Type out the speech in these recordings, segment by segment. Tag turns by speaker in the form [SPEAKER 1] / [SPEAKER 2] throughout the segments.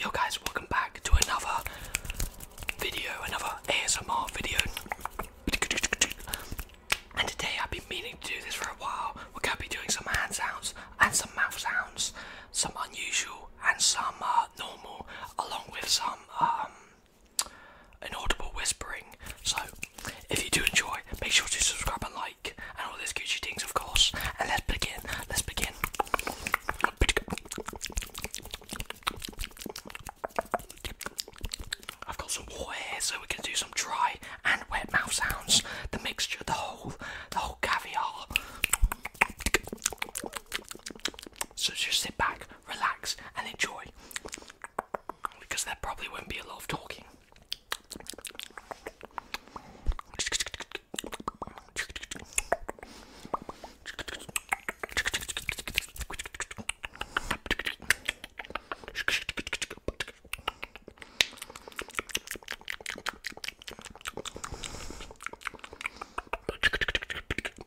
[SPEAKER 1] Yo guys, welcome back to another video, another ASMR video. And today I've been meaning to do this for a while. We're gonna be doing some hand sounds and some mouth sounds, some unusual and some uh, normal, along with some um, inaudible whispering. So, if you do enjoy, make sure to subscribe and like, and all those Gucci things, of course. And let's begin. Let's begin. I've got some water so we can do some dry and wet mouth sounds. The mixture, the whole, the whole caviar. So just sit back, relax, and enjoy anyway, because there probably won't be a lot of talking.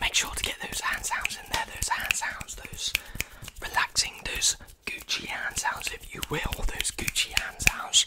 [SPEAKER 1] Make sure to get those hand sounds in there, those hand sounds, those relaxing, those Gucci hand sounds, if you will, those Gucci hand sounds.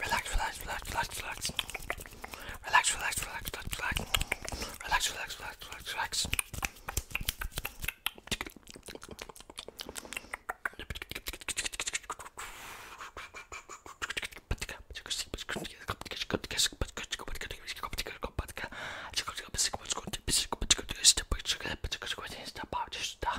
[SPEAKER 1] Relax, relax, relax, relax, relax. Relax, relax, relax, relax, relax. Relax, relax, relax, relax, relax. Step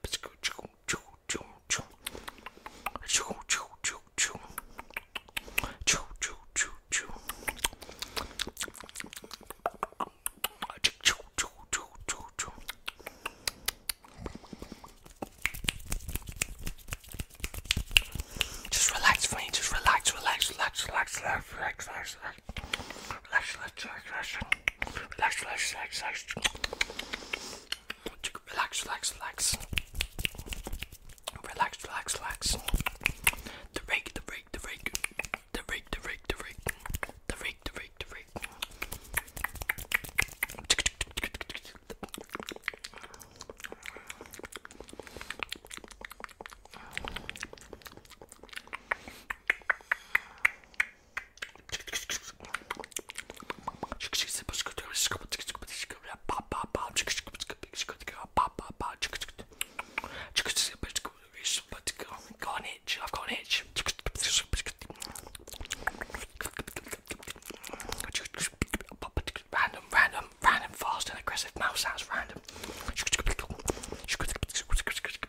[SPEAKER 1] Just relax, friend. Just relax, relax, relax, relax, relax, relax, relax. Relax, relax, relax, relax, relax, relax, relax. Relax, relax, relax. Relax, relax, relax. The rake, the rake, the rake. The rake, the rake, the rake. The rake, the rake, the rake. I've got an itch. I've got an itch. Random, random, random, fast and aggressive mouse sounds. Random.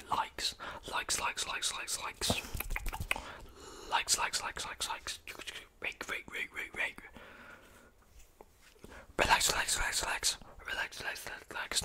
[SPEAKER 1] say likes, likes, likes, likes, likes, likes, likes, likes, likes, likes, likes. Rake, rake, rake, rake, rake. Relax, relax, relax, relax, relax, relax, relax.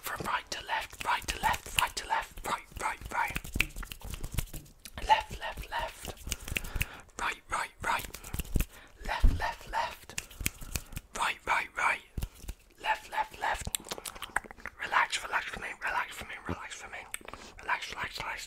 [SPEAKER 1] from right to left, right to left, right to left, right, right, right, left, left, left, right, right, right, left, left, left, right, right, right, left, left, left. Relax, relax for me, relax for me, relax for me, relax, relax, relax.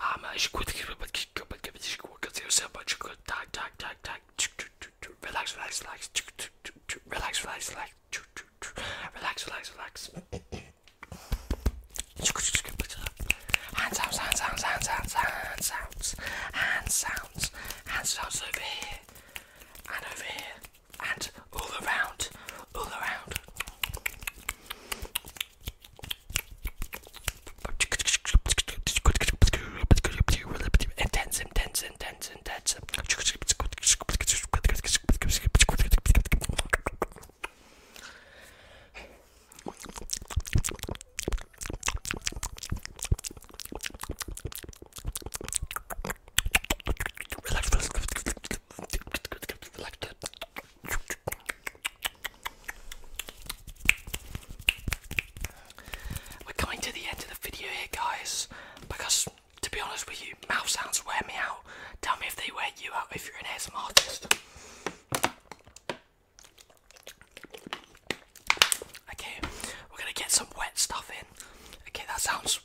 [SPEAKER 1] Um, I should quit the Tag, tag, tag, tag. Relax, relax, relax. Relax, relax, relax. Relax, relax, relax. Hand sounds, hand sounds, hand sounds, hand sounds, hand sounds, hand sounds over here, and over here, and all around, all around. Intense, intense, intense, intense. Relax, relax, relax, relax, relax, we're coming to the end of the video here, guys, because to be honest with you, mouth sounds wear me out. Tell me if they wear you out if you're an ASMR artist. Okay, we're gonna get some wet stuff in. Okay, that sounds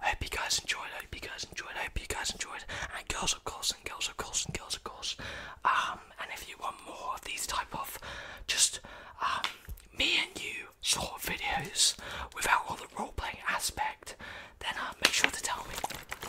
[SPEAKER 1] I hope you guys enjoyed. I hope you guys enjoyed. I hope you guys enjoyed. And girls, of course, and girls, of course, and girls, of course. Um, and if you want more of these type of just um, me and you sort of videos without all the role playing aspect, then uh, make sure to tell me.